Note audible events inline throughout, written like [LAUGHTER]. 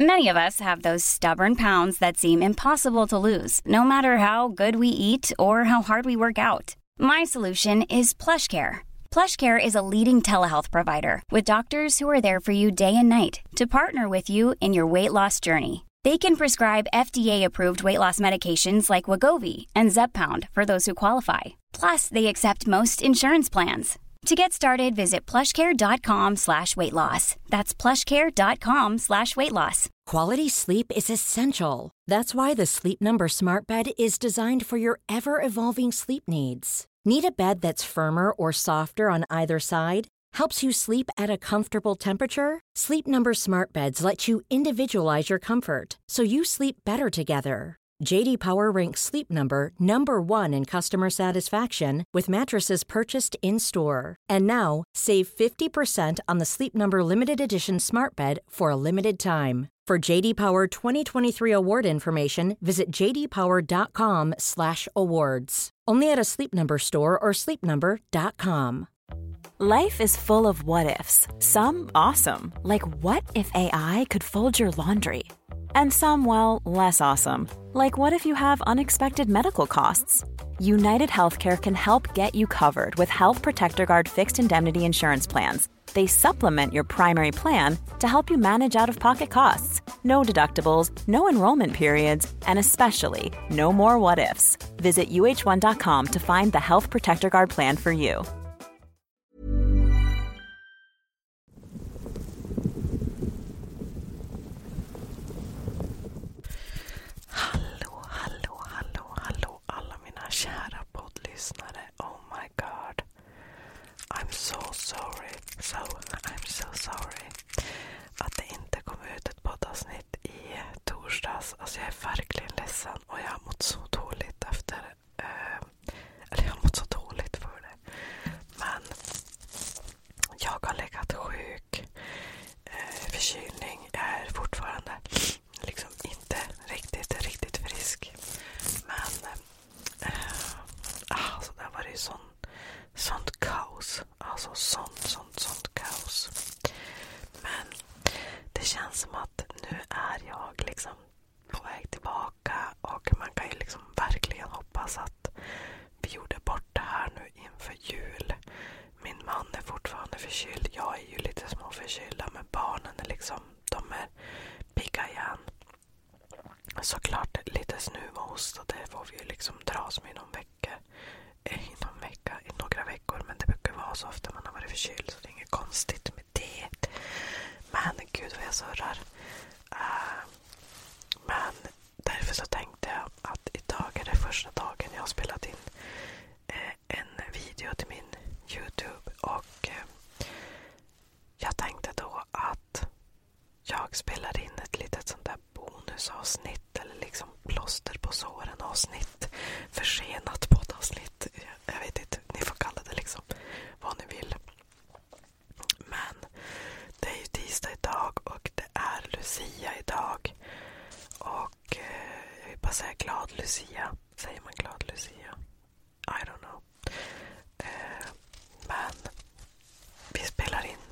Many of us have those stubborn pounds that seem impossible to lose, no matter how good we eat or how hard we work out. My solution is PlushCare. PlushCare is a leading telehealth provider with doctors who are there for you day and night to partner with you in your weight loss journey. They can prescribe FDA-approved weight loss medications like Wagovi and Zeppound for those who qualify. Plus, they accept most insurance plans to get started, visit plushcare.com slash weight loss. That's plushcare.com slash weight loss. Quality sleep is essential. That's why the Sleep Number Smart Bed is designed for your ever-evolving sleep needs. Need a bed that's firmer or softer on either side? Helps you sleep at a comfortable temperature? Sleep Number Smart Beds let you individualize your comfort so you sleep better together. JD Power ranks Sleep Number number one in customer satisfaction with mattresses purchased in store. And now, save 50% on the Sleep Number limited edition smart bed for a limited time. For JD Power 2023 award information, visit jdpower.com/awards. Only at a Sleep Number store or sleepnumber.com. Life is full of what ifs. Some awesome, like what if AI could fold your laundry? And some, well, less awesome. Like what if you have unexpected medical costs? United Healthcare can help get you covered with Health Protector Guard fixed indemnity insurance plans. They supplement your primary plan to help you manage out of pocket costs. No deductibles, no enrollment periods, and especially no more what ifs. Visit uh1.com to find the Health Protector Guard plan for you. Hallå, hallå, hallå, hallå alla mina kära poddlyssnare. Oh my god. I'm so sorry. So, I'm so sorry. Att det inte kom ut ett poddavsnitt i torsdags. Alltså jag är verkligen ledsen och jag har mått så dåligt efter... Eh, eller jag har mått så dåligt för det. Men jag har legat sjuk. Eh, förkylning. är fortfarande liksom inte riktigt, riktigt frisk. Men eh, alltså, där var det ju sån, sånt kaos. Alltså sånt, sånt, sånt kaos. Men det känns som att nu är jag liksom på väg tillbaka och man kan ju liksom verkligen hoppas att vi gjorde bort det här nu inför jul. Min man är fortfarande förkyld. Jag är ju lite småförkyld men barnen är liksom, de är pigga igen. Såklart lite snuva och hosta, det får vi ju liksom dras med i någon vecka. Eh, I vecka, i några veckor. Men det brukar vara så ofta man har varit förkyld så det är inget konstigt med det. Men gud vad jag surrar. Uh, men därför så tänkte jag att idag är det första dagen jag har spelat in eh, en video till min Youtube. och eh, Jag tänkte då att jag spelar in ett litet sånt där bonusavsnitt eller liksom plåster på såren avsnitt. Försenat poddavsnitt. Jag vet inte, ni får kalla det liksom vad ni vill. Men det är ju tisdag idag och det är Lucia idag. Och eh, jag vill bara säga glad Lucia. Säger man glad Lucia? I don't know. Eh, men vi spelar in,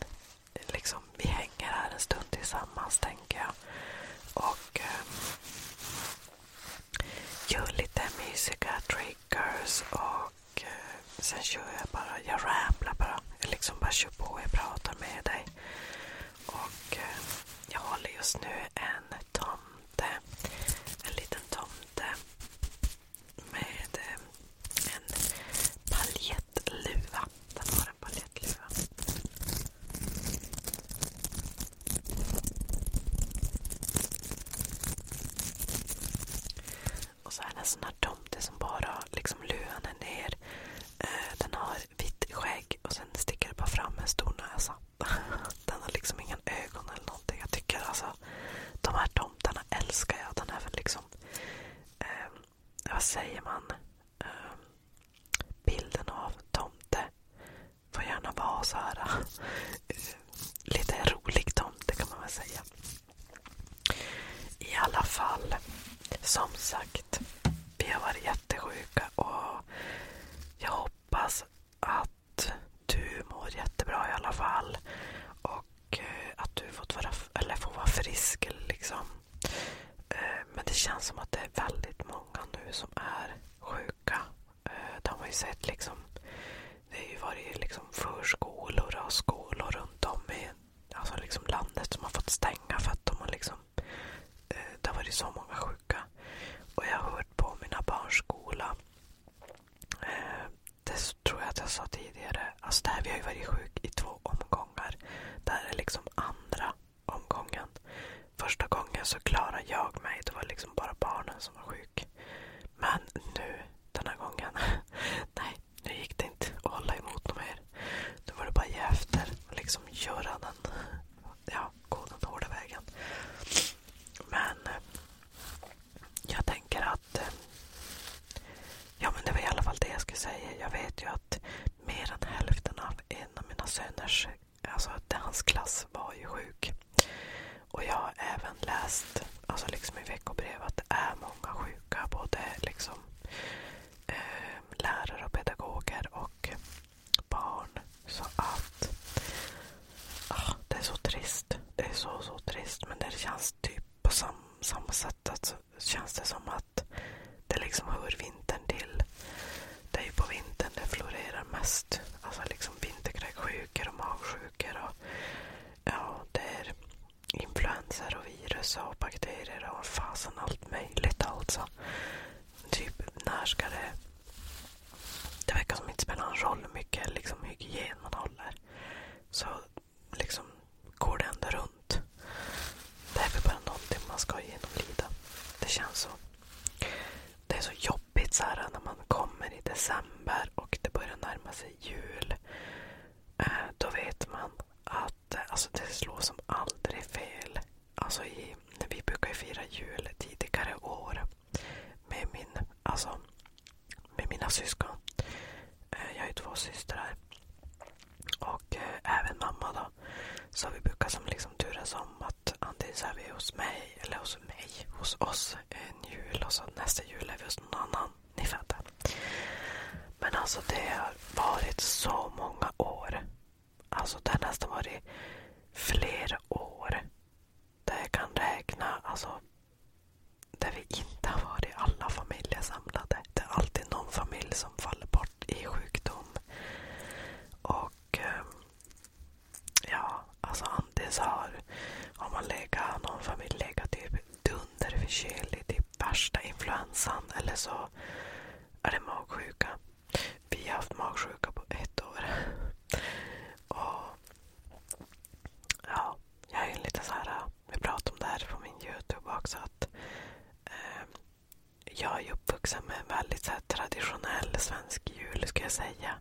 liksom, vi hänger här en stund tillsammans tänker jag. Och eh, gör lite mysiga triggers och och eh, sen kör jag bara, jag ramlar bara. Jag liksom bara kör på, jag pratar med dig. Och eh, jag håller just nu en tomte. En liten tomte. Med eh, en paljettluva. Den har en paljettluva. Och så är det en sån här tomte som bara har liksom luvan är ner. Eh, den har vitt skägg och sen sticker det bara fram en stor näsa. [LAUGHS] Den har liksom ingen ögon eller någonting. Jag tycker alltså, de här tomtarna älskar jag. Den är väl liksom, eh, vad säger man? Eh, bilden av tomte får gärna vara så här. [LAUGHS] Eh, lite rolig tomte kan man väl säga. I alla fall, som sagt. Vi har varit jättesjuka och jag hoppas att du mår jättebra i alla fall. Och eh, att du fått vara, eller får vara frisk. Liksom. Eh, men det känns som att det är väldigt många nu som är sjuka. Eh, det har ju sett liksom. Det har ju varit liksom förskolor och skolor runt om i alltså liksom landet som har fått stänga för att de har liksom, eh, det har varit så många sjuka. Och jag har hört på mina barns skola. Eh, det tror jag att jag sa tidigare. Alltså det vi har ju varit sjuka i två omgångar. Det här är liksom andra omgången. Första gången så klarade jag mig. Det var liksom bara barnen som var sjuka. Men nu, den här gången. [LAUGHS] Nej, nu gick det inte att hålla emot något mer. Nu var det bara att ge efter och liksom göra den, ja, gå den hårda vägen. Men eh, jag tänker att eh, Ja men det var i alla fall det jag skulle säga. Jag vet ju att mer än hälften av en av mina söners, alltså hans klass var ju sjuk. Och jag har även läst alltså liksom i veckobrev att det är många sjuka. Både liksom, eh, lärare och pedagoger och barn. Så att ah, det är så trist. Det är så, så trist. Men det känns typ på sam, samma sätt. Att, alltså, känns det som att det liksom hör vintern till. Det är ju på vintern det florerar mest. Alltså liksom vinterkräksjukor och magsjukor. Och, ja, det är influenser och virus och bakterier och fasen allt möjligt alltså. Typ när ska det... Det verkar som inte spelar någon roll hur mycket liksom, hygien man håller. Så liksom går det ändå runt. Det är väl bara någonting man ska genomlida. Det känns så. Det är så jobbigt så här, när man kommer i december och det börjar närma sig jul. Eh, då vet man att eh, alltså, det slår som aldrig fel. Alltså i, vi brukar ju fira jul tidigare år med, min, alltså, med mina syskon. Eh, jag har ju två systrar. Och även mamma då. Så vi brukar som liksom turas om att antingen så är vi hos mig, eller hos mig, hos oss en jul och så nästa jul är vi hos någon annan ni fattar. Men alltså det har varit så många år. Alltså det har nästan varit fler år där jag kan räkna. Alltså där vi inte har varit alla familjer samlade. Det är alltid någon familj som faller bort i sjukdom. Och ehm, ja, alltså antingen har, har man legat, någon familj legat typ dunderförkyld, det är värsta influensan eller så är det magsjuka. Vi har haft magsjuka på ett år. Och ja, Jag är lite så här, jag pratade om det här på min Youtube också. att eh, Jag är uppvuxen med en väldigt så här, traditionell svensk jul, ska jag säga.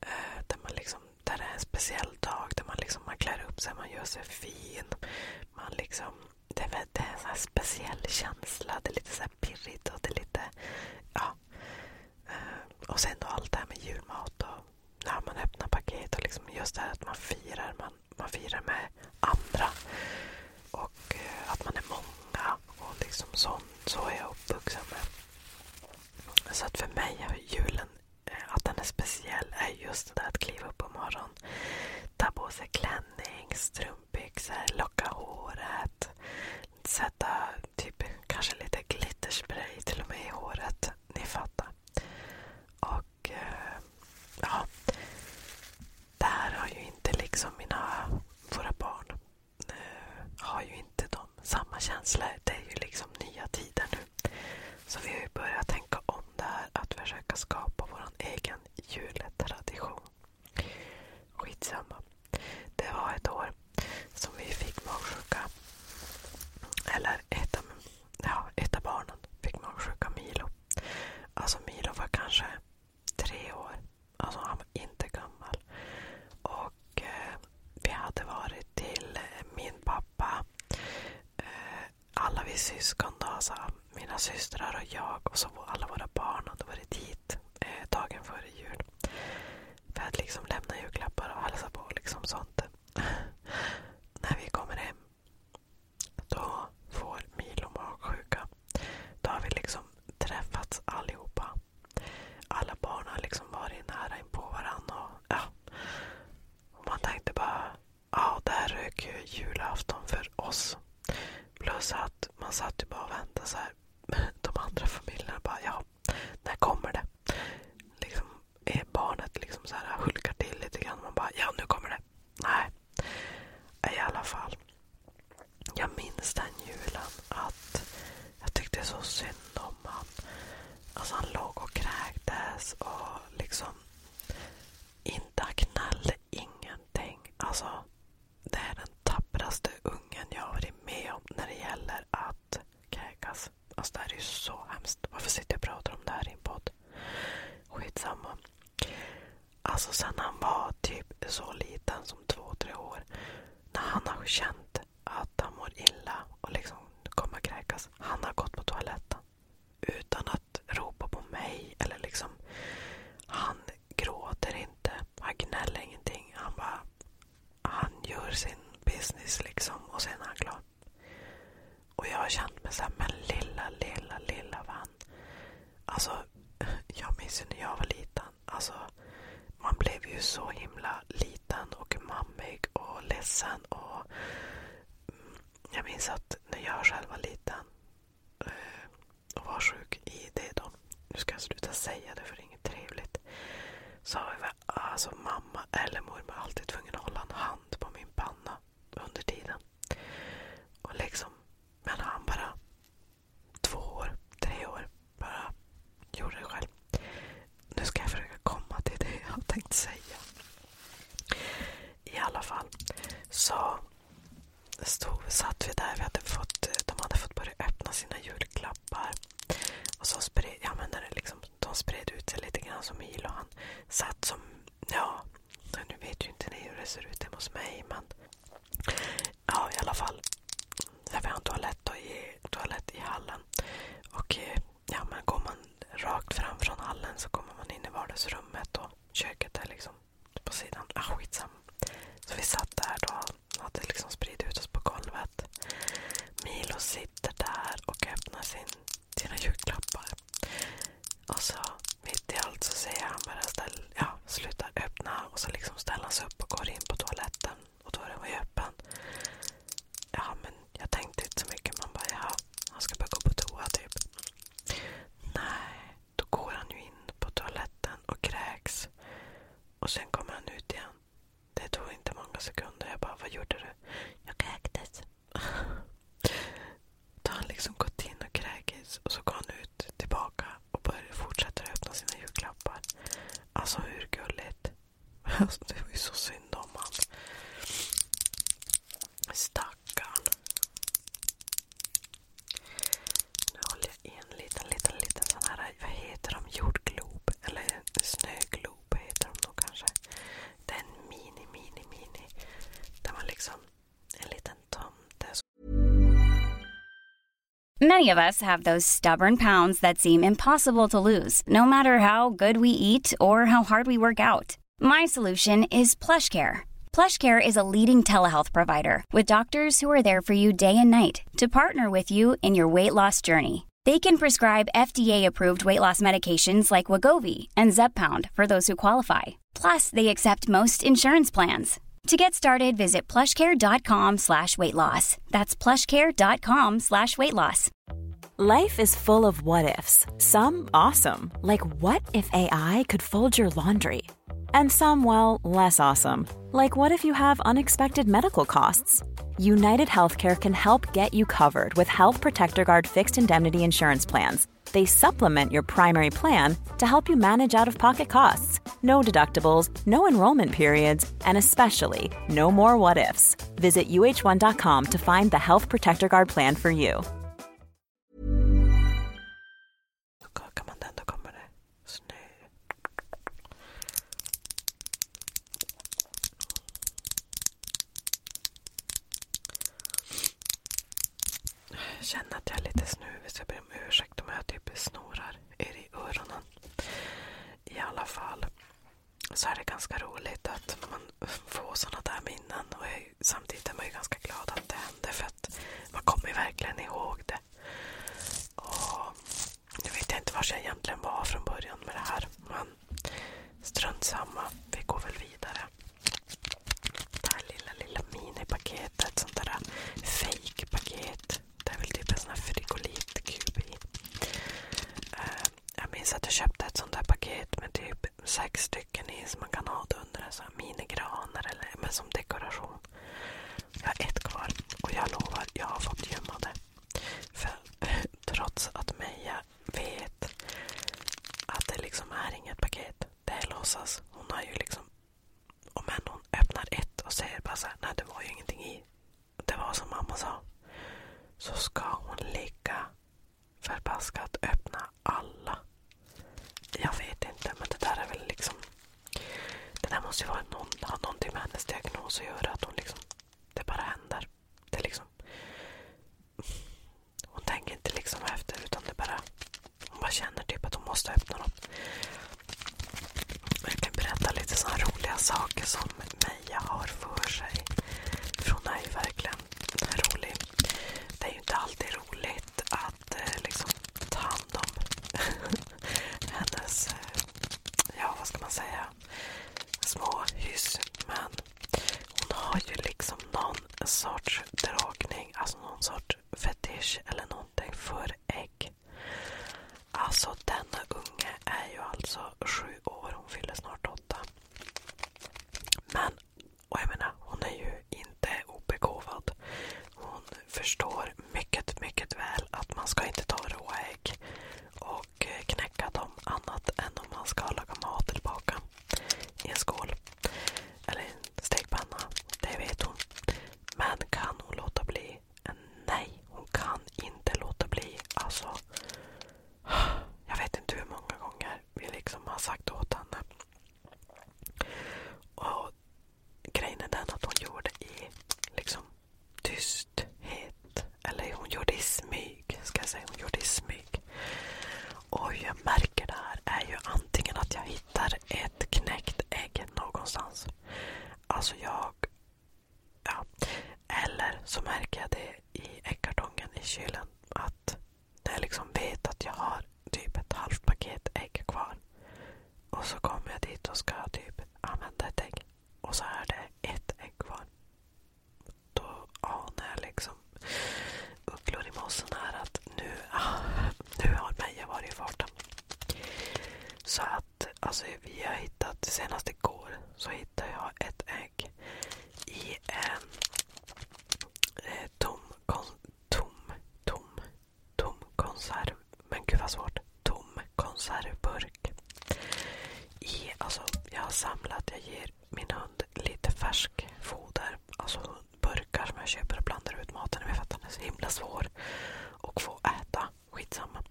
Eh, där man liksom där det är en speciell dag där man, liksom, man klär upp sig, man gör sig fin. Man liksom, det, är, det är en sån speciell känsla. Det är lite så pirrigt och det är lite... Ja. Eh, och sen då allt det här med julmat och när man öppnar paket och liksom just det här att man firar. Man, man firar med andra. Och eh, att man är många. och liksom sånt, Så är jag uppvuxen med. Så att för mig har julen Eh, att den är speciell är just det där att kliva upp på morgonen, ta på sig klänning, strumpbyxor, locka håret, sätta typ kanske lite glitterspray till och med i håret. Ni fattar. Och eh, ja, det här har ju inte liksom mina, våra barn eh, har ju inte de samma känslor. Det är ju liksom nya tider nu. Så vi har börjat tänka om det här att försöka skapa vår egen jultradition. Skitsamma. Det var ett år som vi fick magsjuka. Eller ett av, ja, ett av barnen fick magsjuka, Milo. Alltså Milo var kanske tre år. Alltså han var inte gammal. Och eh, vi hade varit till eh, min pappa eh, alla vi syskon, då, alltså, mina systrar och jag och så alla våra barn hade varit hit eh, dagen före jul. För att liksom lämna julklappar och hälsa på och liksom sånt. [LAUGHS] När vi kommer hem, då får Milo magsjuka. Då har vi liksom träffats allihopa. Alla barn har liksom varit nära inpå varandra. Och, ja. och man tänkte bara ja, där rök ju julafton för oss. Plus att man satt ju bara och väntade så här. [LAUGHS] De andra familjerna bara, ja, när kommer det? Liksom, är eh, barnet liksom så här hulkar till lite grann. Man bara, ja nu kommer det. Nej. I alla fall. Jag minns den julen att jag tyckte så synd om han. Alltså han låg och kräktes och liksom inte knällde ingenting. Alltså, det är den tappraste ungen jag har varit med om när det gäller att kräkas. Alltså det här är ju så hemskt. Varför sitter jag och pratar om det här i en podd? Skitsamma. Alltså sen han var typ så liten som två, tre år. När han har känt att han mår illa och liksom kommer kräkas. Han har gått på toaletten utan att ropa på mig. eller liksom Han gråter inte. Han gnäller ingenting. Han bara han gör sin business liksom och sen är han klar. Och jag har känt mig såhär, men lilla, lilla, lilla vän. Alltså, jag minns ju när jag var liten. Alltså, man blev ju så himla liten och mammig och ledsen och mm, jag minns att när jag själv var liten eh, och var sjuk i det då. Nu ska jag sluta säga det för det är inget trevligt. Så var alltså mamma eller mormor alltid tvungen att hålla en hand på min panna under tiden. Och liksom, men han bara två år, tre år, bara gjorde det själv. Nu ska jag försöka komma till det jag tänkt säga. I alla fall så stod, satt vi där. Vi hade fått, de hade fått börja öppna sina julklappar. Och så spred, ja, men det liksom, de spred ut sig lite grann som Milo. Han satt som... Ja, nu vet ju inte ni hur det ser ut hemma hos mig. Men ja, i alla fall. Där vi har en toalett, då, i, toalett i hallen. Och eh, ja, men går man rakt fram från hallen så kommer man in i vardagsrummet och köket är liksom på sidan. Ah, skitsam. Så vi satt där då hade liksom spridit ut oss på golvet. Milo sitter där och öppnar sin, sina julklappar. Och så mitt i allt så säger han bara ställ, ja, sluta öppna och så liksom ställer han sig upp och går in på toaletten. Och då är den öppen jag tänkte inte så mycket. Man bara, ja, han ska bara gå på toa typ. Nej, då går han ju in på toaletten och kräks. Och sen kommer han ut igen. Det tog inte många sekunder. Jag bara, vad gjorde du? Jag kräktes. [LAUGHS] Då har han liksom gått in och kräkits och så går han ut tillbaka och börjar öppna sina julklappar. Alltså hur gulligt? [LAUGHS] Alltså, det var ju så synd om han. Many of us have those stubborn pounds that seem impossible to lose. No matter how good we eat or how hard we work out. My solution is PlushCare. PlushCare is a leading telehealth provider with doctors who are there for you day and night to partner with you in your weight loss journey. They can prescribe FDA-approved weight loss medications like Wagovi and Zeppound for those who qualify. Plus, they accept most insurance plans. To get started, visit plushcare.com slash weight loss. That's plushcare.com slash weight loss. Life is full of what ifs, some awesome, like what if AI could fold your laundry? And some, well, less awesome, like what if you have unexpected medical costs? United Healthcare can help get you covered with Health Protector Guard fixed indemnity insurance plans. They supplement your primary plan to help you manage out of pocket costs. No deductibles, no enrollment periods, and especially no more what ifs. Visit uh1.com to find the Health Protector Guard plan for you. snö. känner att jag lite snuvig så jag ber om ursäkt jag typ snorar er i öronen. I alla fall. så är det ganska roligt att man får sådana där minnen. Och jag, samtidigt är man ju ganska glad att det hände för att man kommer ju verkligen ihåg det. Och nu vet jag inte var jag egentligen var från början med det här. Men strunt samma, vi går väl vidare. Det här lilla, lilla minipaketet. Sånt där fake paket Det är väl typ en sån här frigolitkub i. Eh, jag minns att jag köpte ett sånt där paket med typ sex stycken i som man kan ha under en sån här minigranar eller men som dekoration. Jag har ett kvar och jag lovar, jag har fått gömma det. För [LAUGHS] trots att Meja vet att det liksom är inget paket. Det är låtsas. Hon har ju liksom... Och men hon öppnar ett och säger bara såhär, nej det var ju ingenting i. Det var som mamma sa. Så ska hon ligga Förbaskat öppna alla. Jag vet inte, men det där är väl liksom... Det där måste ju vara någon, ha någonting med hennes diagnos att göra. Att hon liksom, det bara händer. Det liksom, hon tänker inte liksom efter, utan det bara... Hon bara känner typ att hon måste öppna dem. Jag kan berätta lite sådana roliga saker som säga, har för sig. För hon är ju verkligen rolig. Det är ju inte alltid roligt att eh, liksom, ta hand om [LAUGHS] hennes, eh, ja vad ska man säga, små hyss. Men hon har ju liksom någon sorts dragning, alltså någon sorts fetisch eller någonting för ägg. Alltså denna unge är ju alltså sju år, hon fyller snart åtta. 8. Men, och jag menar, hon är ju inte obegåvad. Hon förstår mycket, mycket väl att man ska inte ta råa ägg och knäcka dem annat än om man ska laga mat eller baka i en skål eller en stekpanna. Det vet hon. Men kan hon låta bli? Nej, hon kan inte låta bli. Alltså, jag vet inte hur många gånger vi liksom har sagt åt henne. Och grejen är den att hon gjorde i liksom tysthet. Eller hon gjorde i smyg, ska jag säga. Hon gjorde i smyg. Och hur jag märker det här är ju antingen att jag hittar ett knäckt ägg någonstans. Alltså jag... Ja. Eller så märker jag det i äggkartongen i kylen. Att när jag liksom vet att jag har typ ett halvt paket ägg kvar. Och så kommer jag dit och ska typ använda ett ägg. Och så är det ett ägg kvar. Då anar jag liksom ugglor i mossen här att nu, [LAUGHS] nu har Meja varit i farten. Så att alltså, vi har hittat, senast igår så hittade jag ett ägg i ehm, eh, en tom, konservburk. Alltså, jag har samlat, jag ger min hund lite färsk Alltså burkar som jag köper och blandar ut maten i. För att den är så himla svår att få äta. Skitsamma.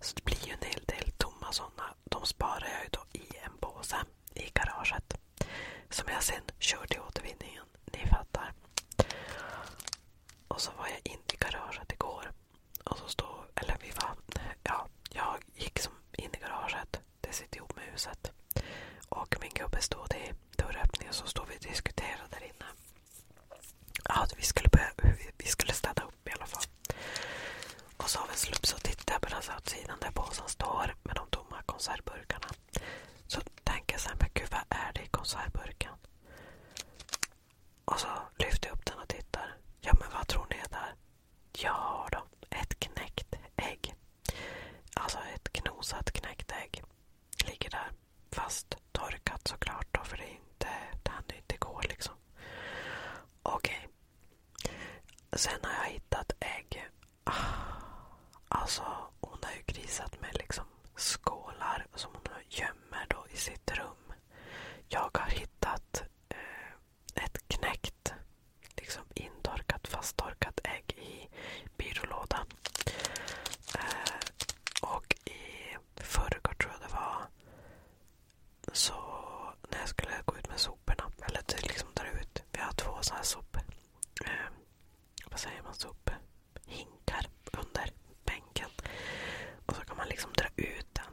Så det blir ju en hel del tomma sådana. De sparar jag ju då i en påse i garaget. Som jag sen körde i återvinningen. Ni fattar. Och så var jag in i garaget igår. Och så stod, eller vi var, ja, jag gick som in i garaget. Det sitter ihop med huset. Och min gubbe stod i dörröppningen så stod vi och diskuterade där inne. Ja, vi skulle, börja, vi skulle städa upp i alla fall. Och så av en slump så tittar jag på den sidan där påsen står med de tomma konservburkarna. Så tänker jag så här, men gud vad är det i konservburken? Och så lyfter jag upp den och tittar. Ja men vad tror ni är där? Ja då, ett knäckt ägg. Alltså ett knosat knäckt ägg ligger där. Fast torkat såklart då, för det, är inte, det hann inte gå liksom. Okej, Sen har jag hittat ägg. Ah, alltså, hon har ju grisat med liksom skålar som hon gömmer då i sitt rum. Jag har hittat eh, ett knäckt, liksom intorkat, fasttorkat ägg i byrålådan. Eh, och i förrgår tror jag det var så när jag skulle gå ut med soporna, eller typ liksom dra ut. Vi har två sådana här sopor. Eh, vad säger man? Sopor? Hinkar under bänken. Och så kan man liksom dra ut den.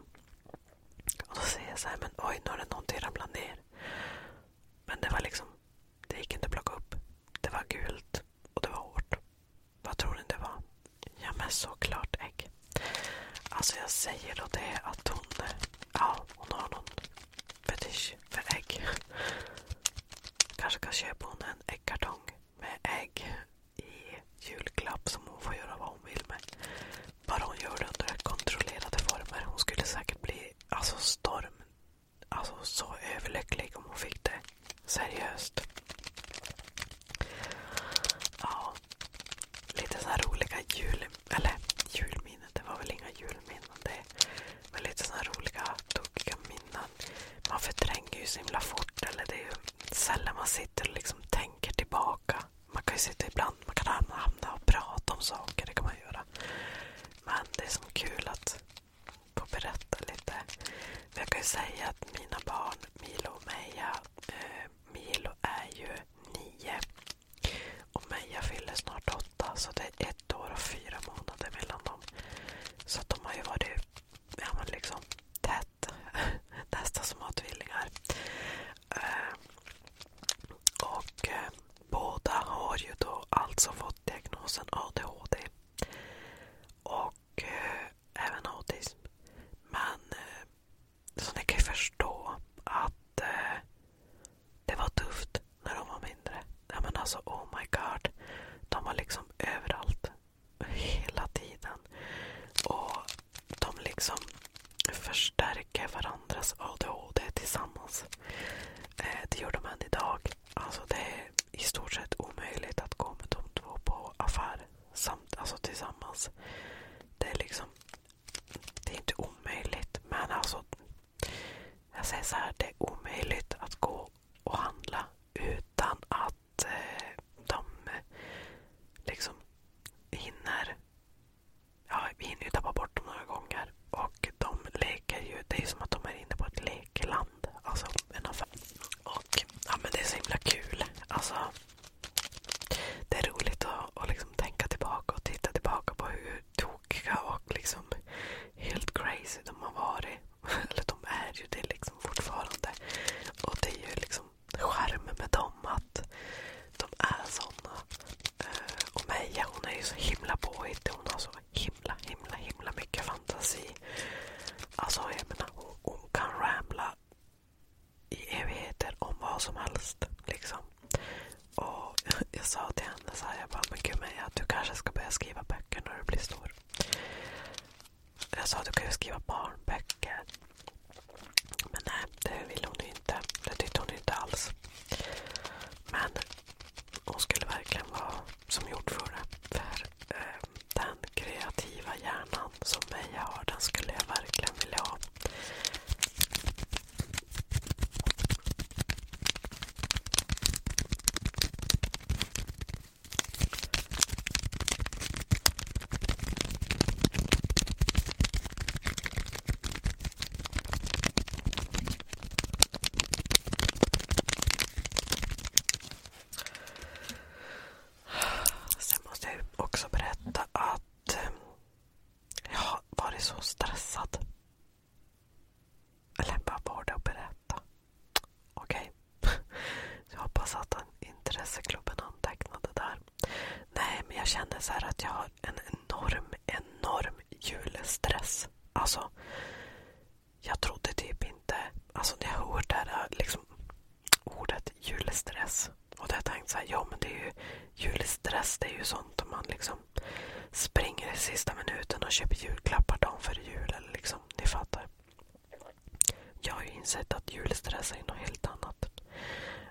Och så ser jag så här, men oj nu har det någonting ramlat ner. Men det var liksom, det gick inte att plocka upp. Det var gult och det var hårt. Vad tror ni det var? Ja men såklart ägg. Alltså jag säger då det att hon Ja, hon har någon fetisch för ägg. Kanske kan köpa hon en äggkartong med ägg i julklapp som hon får göra vad hon vill med. Bara hon gör det under kontrollerade former. Hon skulle säkert bli alltså storm, alltså så överlycklig om hon fick det. Seriöst. Ja. Lite sådana här roliga jul eller julminnen, det var väl inga julminnen. Det var lite såna roliga, tokiga minnen. Man förtränger ju så himla fort. Eller det är ju sällan man sitter och liksom tänker tillbaka. Man kan ju sitta ibland, man kan hamna och prata om saker. Det kan man göra. Men det är så kul att få berätta lite. jag kan ju säga att mina barn, Milo och Meja, eh, Milo är ju nio och Meja fyller snart åtta, så det är ett år och fyra månader mellan dem. Så de har ju varit ja, men liksom, tätt, [LAUGHS] nästan som har tvillingar. Eh, och eh, båda har ju då alltså fått diagnosen ADHD och eh, även autism. Men så ni kan ju förstå att eh, det var tufft när de var mindre. Ja, men alltså, oh my god. De var liksom överallt. Hela tiden. Och de liksom förstärker varandras ADHD tillsammans. Eh, det gör de än idag. Alltså det är i stort sett omöjligt att gå med de två på affär samt, alltså tillsammans. Det är liksom det är inte omöjligt, men alltså. Jag säger så här, det är omöjligt att gå och handla utan att eh, de eh, liksom hinner. Ja, vi hinner ju tappa bort dem några gånger. Och de leker ju. Det är som att de är inne på ett lekland. Alltså en affär. Och ja, men det är så himla kul. Alltså, det är roligt att, att liksom tänka tillbaka och titta tillbaka på hur tokiga och liksom helt crazy de har varit. [LAUGHS] Eller de är ju det liksom fortfarande. Och det är ju liksom charmen med dem att de är såna. Eh, och Meja hon är ju så himla påhittig. Hon har så himla, himla, himla mycket fantasi. Alltså jag menar hon, hon kan ramla i evigheter om vad som helst. Liksom. Och [LAUGHS] Jag sa till henne så här, jag bara, men gud Meja, du kanske ska börja skriva böcker när du blir stor. Jag sa, du kan ju skriva barnböcker. Men nej, det ville hon inte. Det tyckte hon inte alls. Men hon skulle verkligen vara som gjord för det. För eh, den kreativa hjärnan som Meja har, den skulle jag verkligen vilja ha. Sen måste jag också berätta att eh, jag har varit så stressad. Eller bara var det att berätta? Okej. Okay. [LAUGHS] Jag hoppas att den intresseklubben antecknade där. Nej, men jag känner så att jag har en enorm, enorm julstress. Alltså, jag trodde typ inte... Alltså när jag hörde det här liksom, ordet julstress och då har jag tänkt så här, ja men det är ju julstress, det är ju sånt om man liksom springer i sista minuten och köper julklappar dagen före jul. Eller liksom, ni fattar. Jag har ju insett att julstress är något helt annat.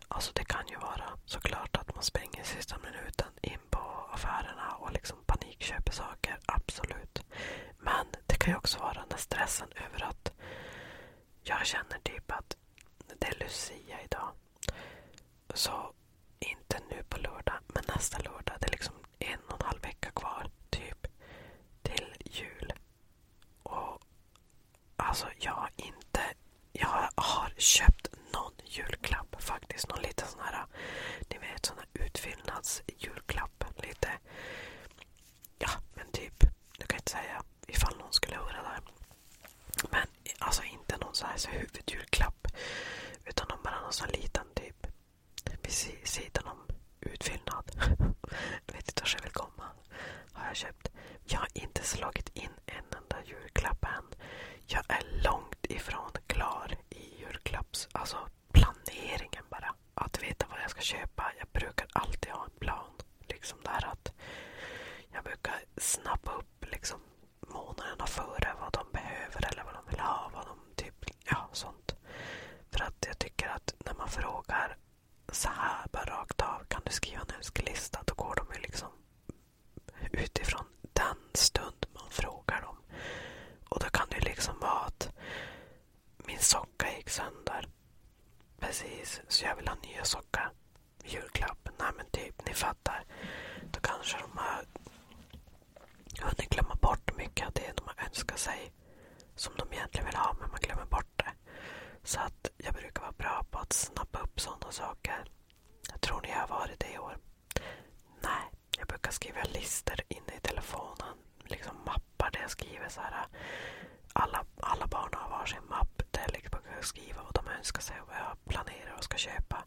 Alltså det kan ju vara såklart att man springer i sista minuten in på affärerna och liksom panikköper saker. Absolut. Men det kan ju också vara den där stressen över att jag känner typ att det är Lucia idag. Så inte nu på lördag, men nästa lördag. Det är liksom en och en halv vecka kvar, typ, till jul. Och alltså, jag har inte... Jag har köpt någon julklapp faktiskt. Någon liten sån här, ni vet, sån här utfyllnadsjulklapp. Lite, ja, men typ, nu kan jag inte säga ifall någon skulle höra det. Men alltså inte någon så här huvudjulklapp. Utan de bara någon sån liten typ vid sidan om utfyllnad. [LAUGHS] jag vet inte vart jag vill komma. Har jag köpt. Jag har inte slagit in en enda julklapp än. Jag är långt ifrån klar i julklapps... Alltså planeringen bara. Att veta vad jag ska köpa. Jag brukar alltid ha en plan. Liksom där att jag brukar snappa upp upp liksom månaderna före vad de behöver eller vad de vill ha. Vad de typ, ja, sånt. För att jag tycker att när man frågar så här bara rakt av, kan du skriva en önskelista? Då går de ju liksom utifrån den stund man frågar dem. Och då kan det ju liksom vara att min socka gick sönder. Precis, så jag vill ha nya sockar julklapp. Nej men typ, ni fattar. Då kanske de har hunnit glömma bort mycket av det de har önskat sig. Som de egentligen vill ha, men man glömmer bort det. Så att jag brukar vara bra på att snappa upp sådana saker. Jag tror ni har varit det i år? Nej, jag brukar skriva listor inne i telefonen. Liksom mappar där jag skriver så Alla, alla barn har varsin mapp där jag brukar skriva vad de önskar sig och vad jag jag planerar och ska köpa.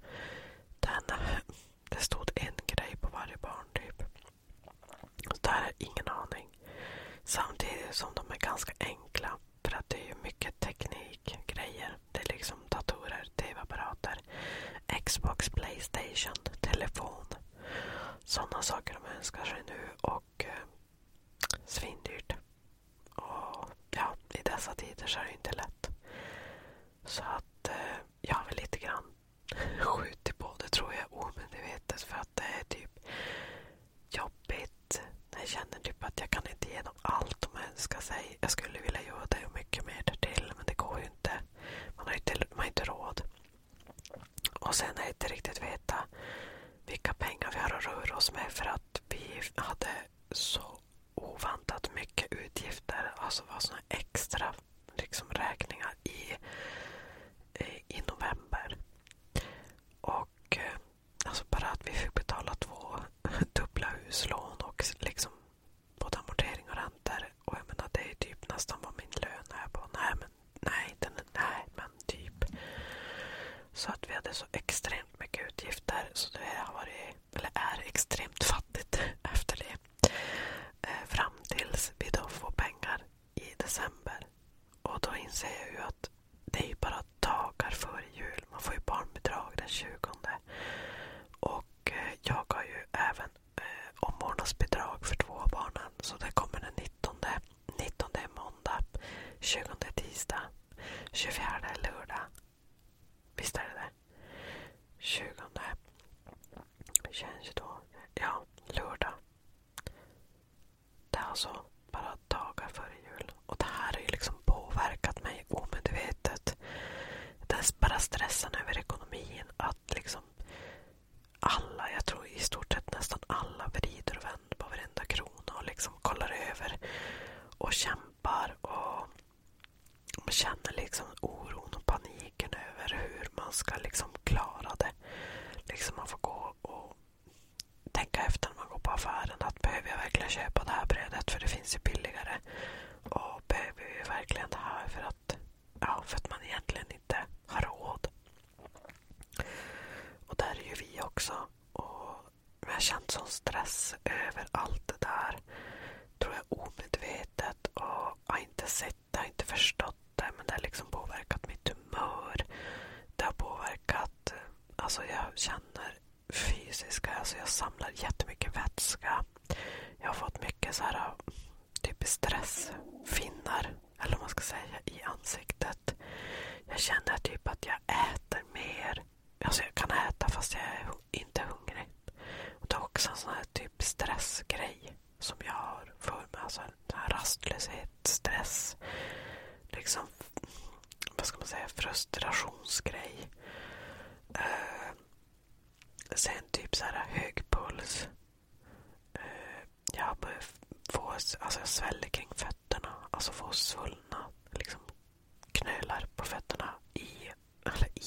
Den, [LAUGHS] det stod en grej på varje barn typ. Och där är ingen aning. Samtidigt som de är ganska enkla. För att det är ju mycket teknikgrejer. Det är liksom datorer, tv-apparater, Xbox, Playstation, telefon. Sådana saker de önskar sig nu och eh, svindyrt. Och ja, i dessa tider så är det inte lätt. Så att eh, jag har väl lite grann [LAUGHS] skjutit på det tror jag omedvetet. För att det är typ jobbigt. Jag känner typ att jag kan inte ge dem allt de önskar sig. Jag skulle vilja göra det och mycket mer därtill men det går ju inte. Man har inte, man har inte råd. Och sen är inte riktigt veta vilka pengar vi har att röra oss med för att vi hade så oväntat mycket utgifter. Alltså var såna extra liksom, räkningar i, eh, i november. Och eh, alltså bara att vi fick betala två [LAUGHS] dubbla huslån och liksom både amortering och räntor. Och jag menar, det är typ nästan vad min lön är på. Nej, men nej, den, nej, men typ. Så att vi hade så extremt extremt mycket utgifter. Så det har varit, eller är extremt fattigt [LAUGHS] efter det. Eh, fram tills vi då får pengar i december. Och då inser jag ju att det är ju bara dagar före jul. Man får ju barnbidrag den 20. Och eh, jag har ju även eh, omvårdnadsbidrag för två av barnen. Så det kommer den 19. 19 är måndag, 20 är tisdag, 24 är lördag, Visst är det det? 20. 2022. Ja, lördag. Det är alltså bara dagar före jul. Och det här har ju liksom påverkat mig omedvetet. Det är bara stressen över ekonomin. Att liksom alla, jag tror i stort sett nästan alla vrider och vänder på varenda krona och liksom kollar över och kämpar trampar och man känner liksom oron och paniken över hur man ska liksom klara det. Liksom man får gå och tänka efter när man går på affären. att Behöver jag verkligen köpa det här brödet? För det finns ju billigare. Och behöver vi verkligen det här? För att, ja, för att man egentligen inte har råd. Och där är ju vi också. Och jag har känt sån stress över allt det där. Tror jag omedvetet. Och jag har inte sett det, har inte förstått det. Men det har liksom påverkat mitt humör. Det har påverkat... Alltså jag känner fysiska, alltså jag samlar jättemycket vätska. Jag har fått mycket så här typ stressfinnar, eller vad man ska säga, i ansiktet. Jag känner typ att jag äter mer. Alltså jag kan äta fast jag är inte hungrig. Och det är också en sån här typ stressgrej som jag har för mig. Alltså en rastlöshet, stress. Liksom, vad ska man säga, frustrationsgrej. Uh, sen typ så här hög puls. Uh, eh, jag, får, alltså jag sväller kring fötterna. Alltså får svullna liksom, knölar på fötterna i, eller i,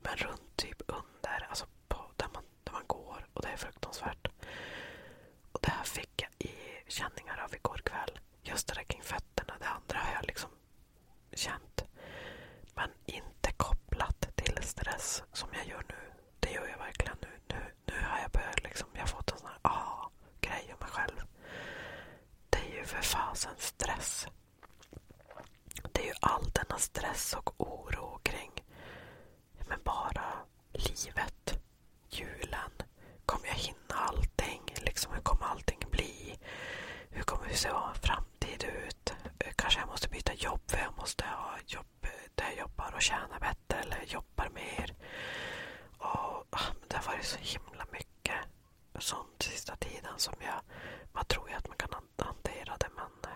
men runt typ under, alltså på, där, man, där man går. Och det är fruktansvärt. Och det här fick jag i känningar av igår kväll. Just det där kring fötterna, det andra har jag liksom känt. Men inte kopplat till stress som jag gör nu. Det gör jag verkligen nu. Nu, nu har jag börjat liksom, jag har fått en sån här aha-grej om mig själv det är ju för fasen stress. Det är ju all denna stress och oro kring men bara livet, julen. Kommer jag hinna allting? Liksom, hur kommer allting bli? Hur kommer hur ser vår framtid ut? Kanske jag måste byta jobb för jag måste ha jobb där jag jobbar och tjäna bättre eller jobbar mer. Och, ah, det har varit så himla mycket sånt sista tiden som jag... Man tror ju att man kan hantera det men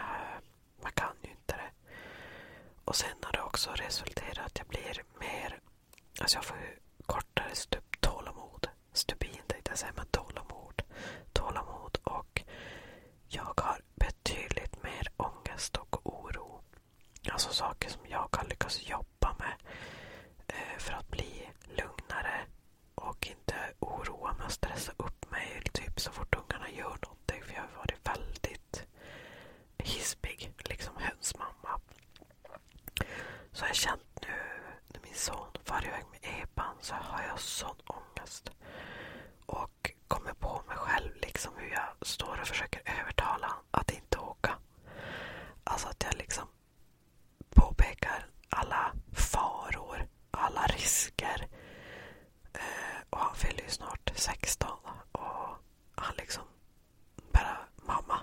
äh, man kan ju inte det. Och sen har det också resulterat i att jag blir mer... Alltså jag får kortare stup, tålamod. Stubin tänkte jag säga, men tålamod. Tålamod och jag har betydligt mer ångest och oro. Alltså saker som jag har lyckats jobba med eh, för att bli lugnare och inte oroa mig och stressa upp mig typ så fort ungarna gör någonting. För jag har varit väldigt hispig, liksom hönsmamma. Så jag har känt nu när min son far iväg med epan så har jag sån ångest. Och kommer på mig själv liksom hur jag står och försöker övertala att inte åka. Alltså att jag liksom påpekar alla faror, alla risker. Eh, och han fyller ju snart 16 och han liksom bara mamma,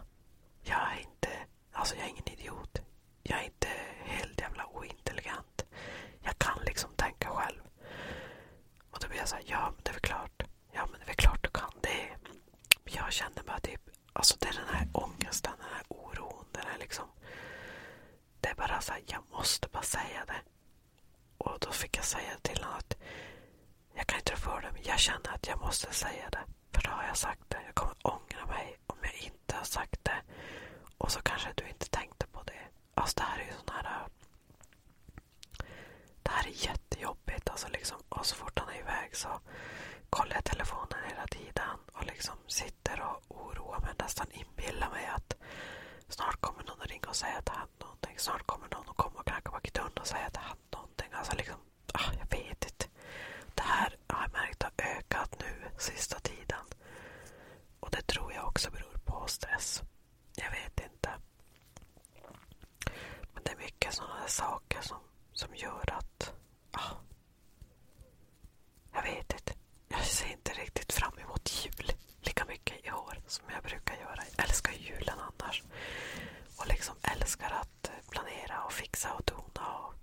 jag är inte, alltså jag är ingen idiot. Jag är inte helt jävla ointelligent. Jag kan liksom tänka själv. Och då blir jag såhär, ja men det är väl klart. Ja men det är klart du kan det. Jag känner bara typ, alltså det är den här ångesten, den här oron. Den här liksom, det är bara så här, jag måste bara säga det. Och då fick jag säga till honom att jag kan inte för det men jag känner att jag måste säga det. För då har jag sagt det. Jag kommer ångra mig om jag inte har sagt det. Och så kanske du inte tänkte på det. Alltså det här är ju sån här... Det här är jättejobbigt. Alltså liksom, och så fort han är iväg så kollar jag telefonen hela tiden och liksom sitter och oroar mig. Nästan inbillar mig att snart kommer någon att ringa och säga att det hände någonting. Snart kommer någon att komma och knacka på dörren och säga att det hände någonting. Alltså liksom, ah, jag vet inte. Det här har jag märkt har ökat nu sista tiden. Och det tror jag också beror på stress. Jag vet inte. Men det är mycket sådana saker som, som gör att... Ah, jag vet inte. Jag ser inte riktigt fram emot jul lika mycket i år som jag brukar göra. Jag älskar julen annars. Och liksom älskar att eh, planera och fixa och dona. Och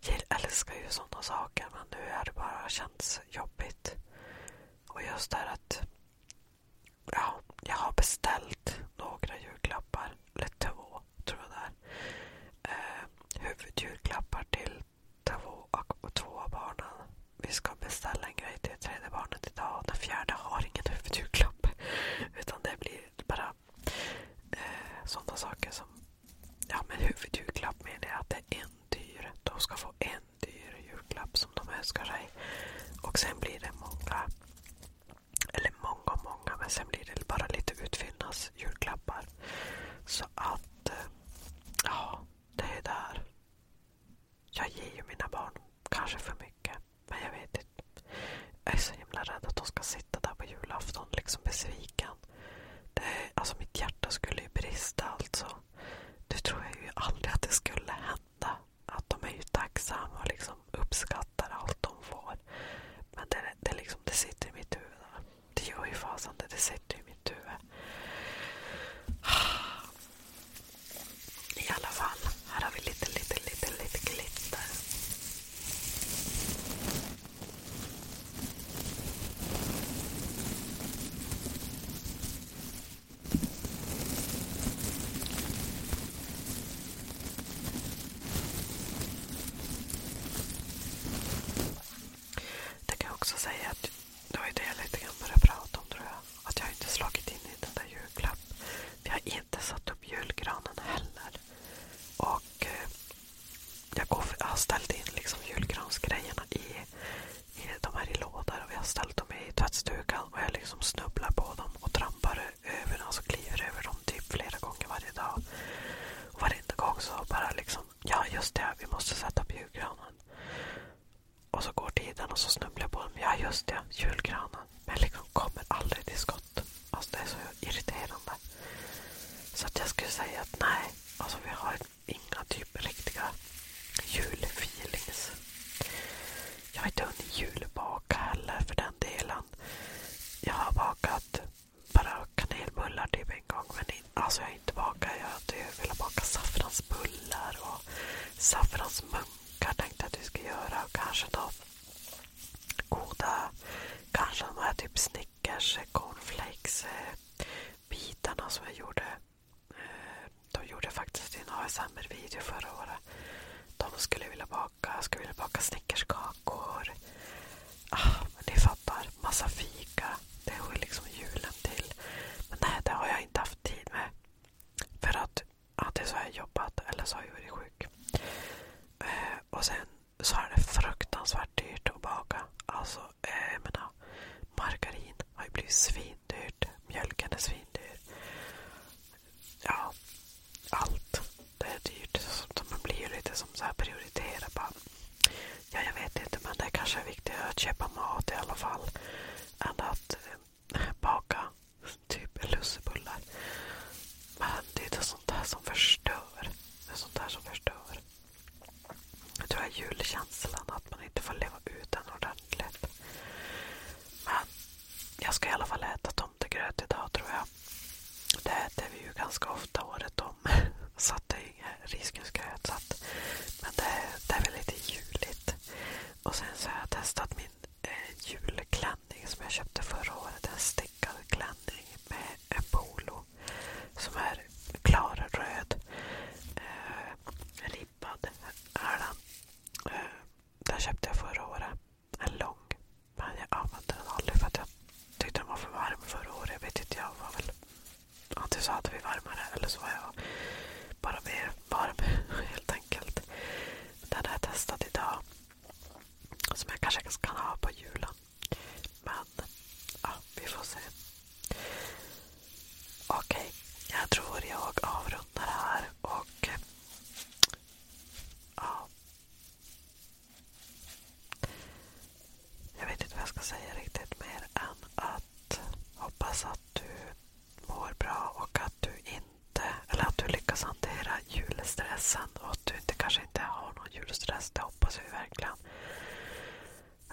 jag älskar ju sådana saker men nu har det bara känts jobbigt. Och just det här att Ja, jag har beställt några julklappar. Eller två, tror jag det är. Eh, huvudjulklappar till två, två av barnen. Vi ska beställa en grej till tredje barnet idag. Den fjärde har ingen huvudjulklapp. [LAUGHS] Utan det blir bara eh, sådana saker som... Ja, men huvudjulklapp menar jag att det är en dyr. De ska få en dyr julklapp som de önskar sig. Och sen blir det många eller många, många. Men sen blir det bara lite utfyllnadsjulklappar. Så att... Eh, ja, det är där. Jag ger ju mina barn kanske för mycket. Men jag vet inte. Jag är så himla rädd att de ska sitta där på julafton liksom besviken. Det är, alltså mitt hjärta skulle ju brista alltså. Det tror jag ju aldrig att det skulle hända att de är ju tacksamma och liksom uppskattar allt de får. Men det, det, liksom, det sitter i mitt huvud. Det gör ju fasen det. Det sitter i mitt huvud. I alla fall, här har vi lite, lite, lite, lite glitter. Jag kan också säga det var ju det jag började prata om tror jag. Att jag inte slagit in i den där julklapp. Jag har inte satt upp julgranen heller. Eh, jag, har ställt in liksom julgransgrejerna i, lådor jag har ställt dem i tvättstugan och jag liksom snubblar på dem och trampar ut över den. Så kliver över dem typ flera gånger varje dag. Och varenda gång så bara liksom, ja just det, vi måste sätta upp julgranen. Och så går tiden och så snubblar jag på dem. Ja just det, julgranen. Men liksom kommer aldrig till skott. Alltså det är så irriterande. Så att jag skulle säga att nej, alltså vi har inga typ riktiga julfeelings. Jag har inte hunnit julbaka heller för den delen innan. Jag har bakat bara kanelbullar typ en gång. Men in, alltså jag har inte bakat. Jag hade velat baka saffransbullar och saffransmunkar tänkte att vi ska göra. Och kanske då goda, kanske de här typ Snickers, eh, cornflakes eh, bitarna som jag gjorde. Eh, de gjorde faktiskt en ASMR-video förra året. De skulle vilja baka, jag skulle vilja baka snickerskakor. Ah, men ni fattar, massa fika. Det hör liksom julen till. Men nej, det har jag inte haft tid med. För att antingen så har jag jobbat eller så har jag varit sjuk. Eh, och sen så är det fruktansvärt dyrt att baka. Alltså, eh, jag menar, margarin har ju blivit svindyrt. Mjölken är svindyr ja, allt. Det är dyrt. Så man blir ju lite som så här prioriterad. Bara, ja, jag vet inte men det kanske är viktigare att köpa mat i alla fall. Än att eh, baka typ lussebullar. Men det är inte sånt där som förstör. Det är sånt där som förstör. Jag tror jag julkänslan, att man inte får leva ut den ordentligt. Men jag ska i alla fall äta tomtegröt idag tror jag. Det äter vi ju ganska ofta året om. [LAUGHS] Så att det är ingen risgrynsgröt. Så att, men det, det är väl lite juligt. Och sen så har jag testat min eh, julklänning som jag köpte förra året. En stickad klänning med en polo som är klarröd. Eh, ribbad är den. Eh, den köpte jag förra året. En lång. Men jag använde den aldrig för att jag tyckte den var för varm förra året. Jag vet inte, jag var väl... Antingen så hade vi varmare eller så var jag bara mer varm [LAUGHS] helt enkelt. Den har jag testat idag. Som jag kanske kan ha på julen. Men ja, vi får se. Okej, okay. jag tror jag avrundar här. och Ja. Jag vet inte vad jag ska säga riktigt mer än att hoppas att du mår bra och att du inte, eller att du lyckas hantera julstressen och att du inte, kanske inte har någon julstress. Det hoppas vi verkligen.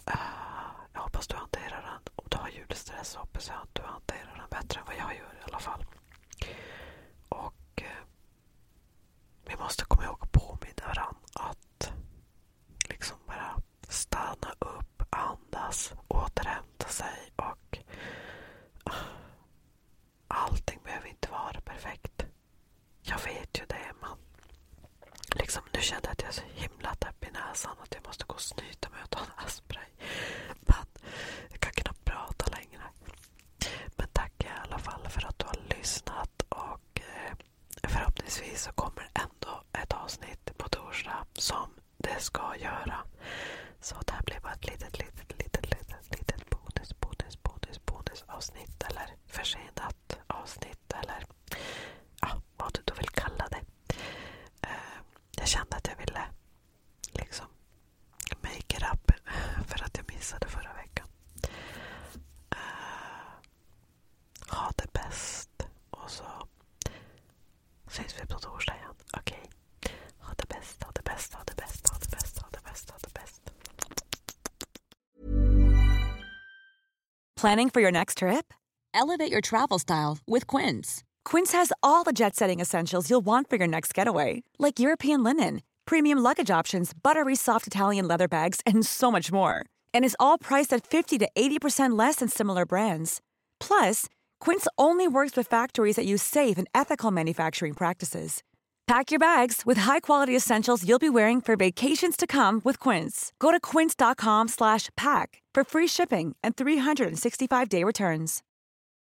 Eh, jag hoppas du hanterar den. Om du har julstress hoppas jag att du hanterar den bättre än vad jag gör i alla fall. Och eh, vi måste komma ihåg att påminna varandra att liksom bara stanna upp, andas, återhämta sig och ah, allting behöver inte vara perfekt. Jag vet ju det men liksom, nu kände jag att jag är så himla täpp i näsan att jag måste gå och snyta mig och ta en aspray. Men jag kan knappt prata längre. Men tack i alla fall för att du har lyssnat och eh, förhoppningsvis så kommer ändå ett avsnitt på torsdag som det ska göra. Så det här blir bara ett litet, litet, litet, litet, litet bonus, bonus, bonus, bonus avsnitt eller försenat avsnitt eller ja, vad du då vill kalla det. Eh, jag kände att jag ville liksom make-it-up [SIGHS] för att jag missade förra veckan. Uh, ha det bäst. Och så syns vi på Okay. Ha det bäst, ha det bäst, ha det bäst, ha det bäst, ha det bäst, ha det bäst. Planning for your next trip? Elevate your travel style with Quince. Quince has all the jet-setting essentials you'll want for your next getaway like European linen, premium luggage options, buttery soft Italian leather bags, and so much more. And is all priced at 50 to 80% less than similar brands. Plus, Quince only works with factories that use safe and ethical manufacturing practices. Pack your bags with high-quality essentials you'll be wearing for vacations to come with Quince. Go to quince.com/pack for free shipping and 365-day returns.